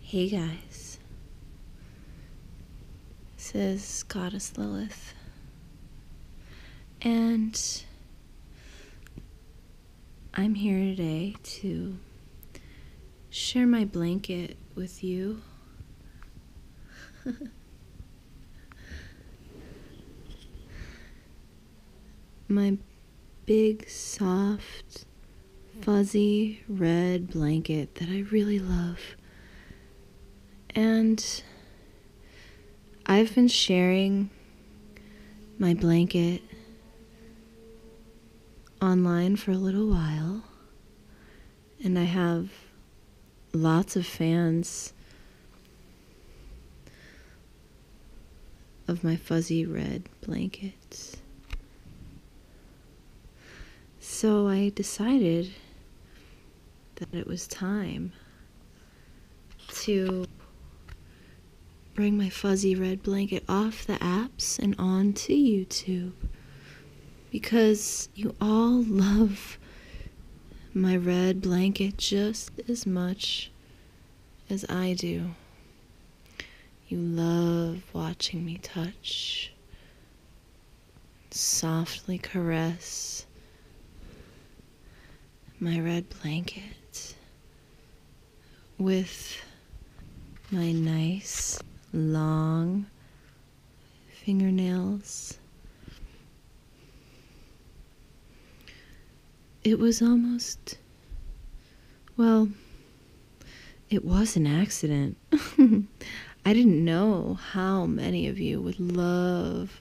Hey guys, says Goddess Lilith, and I'm here today to share my blanket with you My big, soft, fuzzy red blanket that I really love. And I've been sharing my blanket online for a little while and I have lots of fans of my fuzzy red blankets. So I decided that it was time to bring my fuzzy red blanket off the apps and onto YouTube because you all love my red blanket just as much as I do. You love watching me touch, softly caress my red blanket with my nice long fingernails. It was almost, well, it was an accident. I didn't know how many of you would love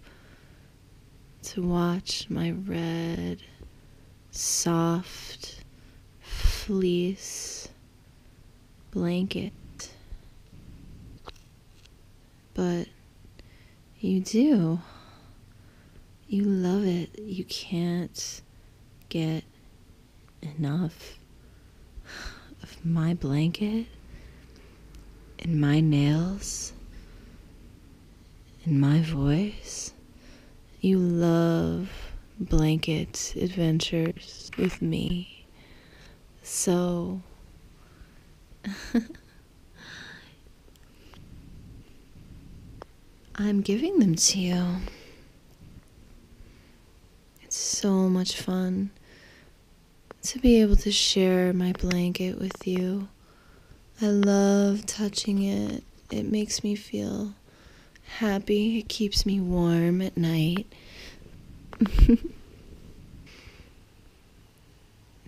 to watch my red, soft fleece blanket. But you do. You love it. You can't get enough of my blanket and my nails and my voice. You love blanket adventures with me. So. I'm giving them to you. It's so much fun to be able to share my blanket with you. I love touching it, it makes me feel happy. It keeps me warm at night. it's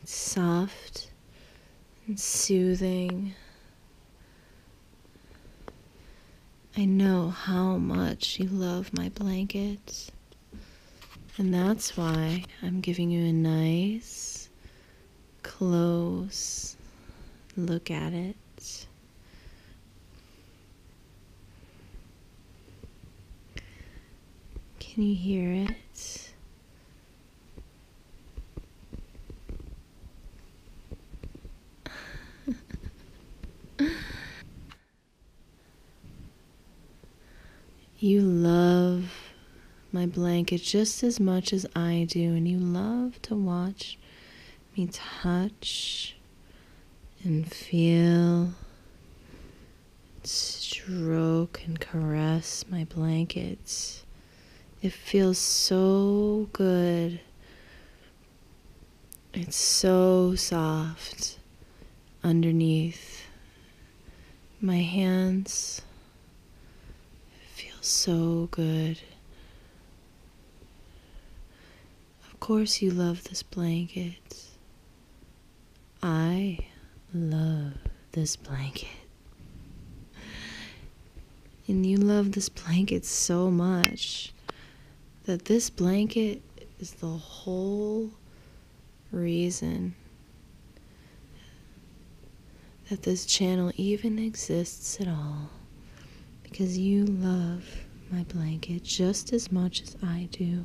soft and soothing. I know how much you love my blankets. And that's why I'm giving you a nice close look at it. Can you hear it? you love my blanket just as much as I do, and you love to watch touch me touch and feel stroke and caress my blankets. It feels so good. It's so soft underneath my hands it feels so good. Of course, you love this blanket. I love this blanket. And you love this blanket so much that this blanket is the whole reason that this channel even exists at all because you love my blanket just as much as I do.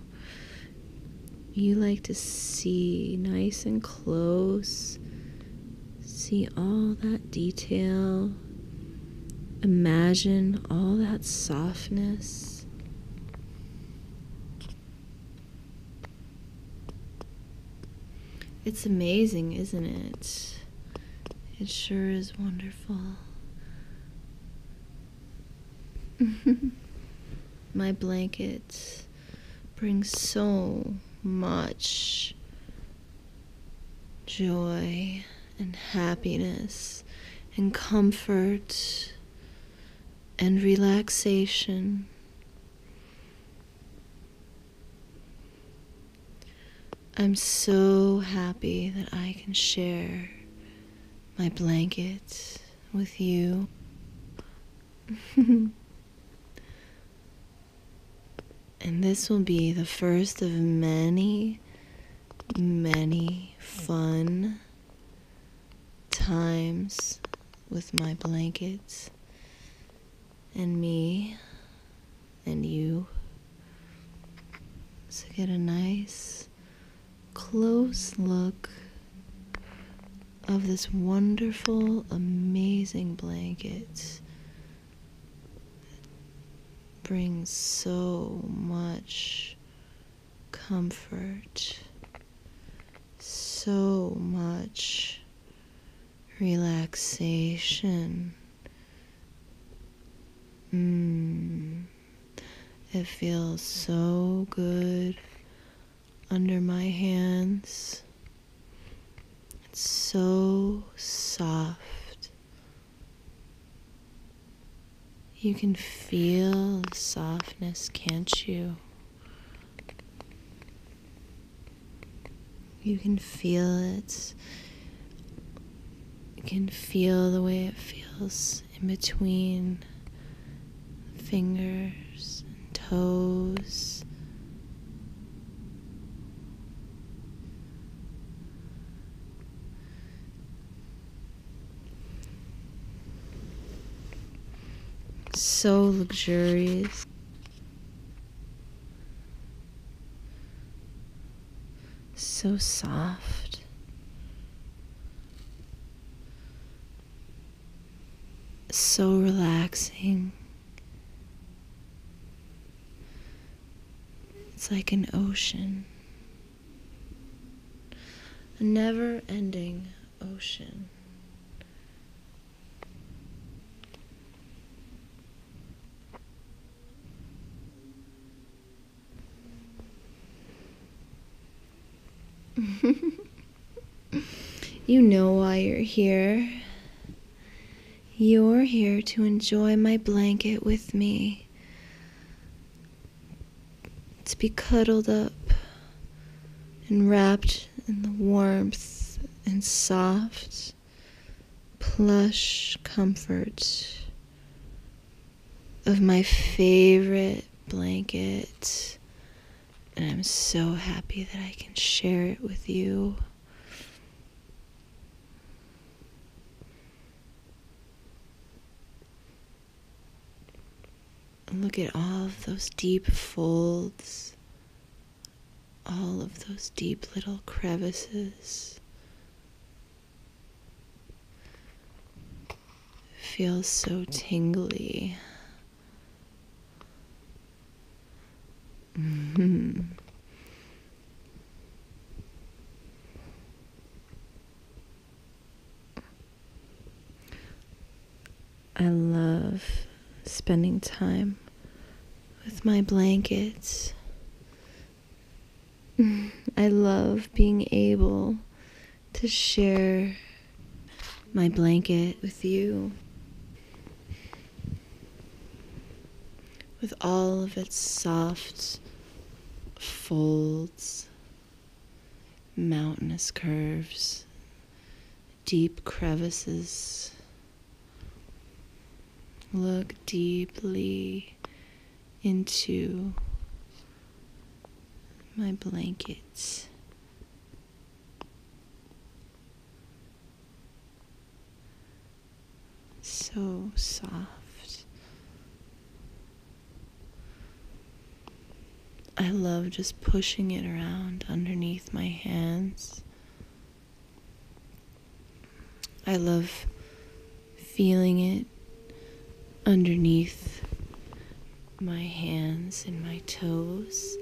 You like to see nice and close, see all that detail, imagine all that softness. It's amazing, isn't it? It sure is wonderful. My blankets bring so much joy and happiness and comfort and relaxation. I'm so happy that I can share my blanket with you. and this will be the first of many, many fun times with my blankets and me and you. So get a nice close look of this wonderful, amazing blanket that brings so much comfort so much relaxation. Mm, it feels so good under my hands. It's so soft. You can feel the softness, can't you? You can feel it. You can feel the way it feels in between fingers and toes so luxurious. So soft. So relaxing. It's like an ocean. A never ending ocean. you know why you're here. You're here to enjoy my blanket with me to be cuddled up and wrapped in the warmth and soft, plush comfort of my favorite blanket. And I'm so happy that I can share it with you look at all of those deep folds, all of those deep little crevices. Feels so tingly. Mm-hmm. I love spending time with my blankets. I love being able to share my blanket with you, with all of its soft folds mountainous curves, deep crevices. Look deeply into my blankets. So soft I love just pushing it around underneath my hands. I love feeling it underneath my hands and my toes.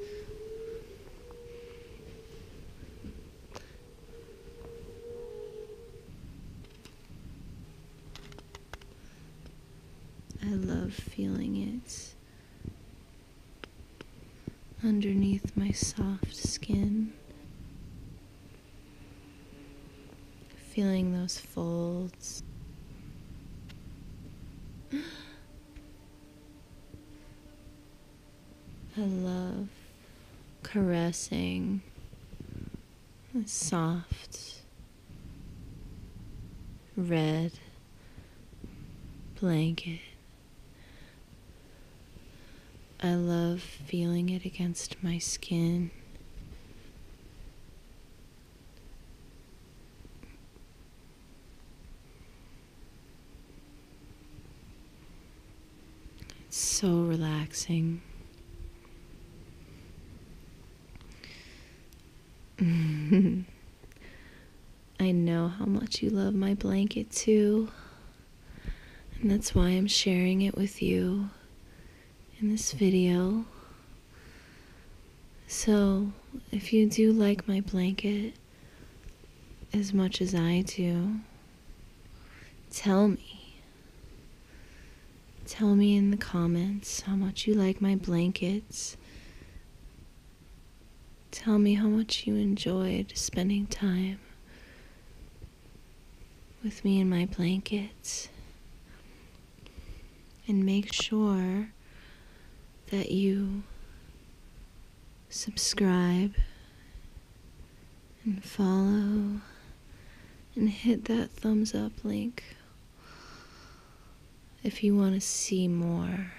I love feeling it underneath my soft skin. Feeling those folds. I love caressing soft red blanket. I love feeling it against my skin. It's so relaxing. I know how much you love my blanket too. And that's why I'm sharing it with you in this video. So, if you do like my blanket as much as I do, Tell me. Tell me in the comments how much you like my blankets. Tell me how much you enjoyed spending time with me and my blankets. And make sure that you subscribe and follow and hit that thumbs up link if you want to see more.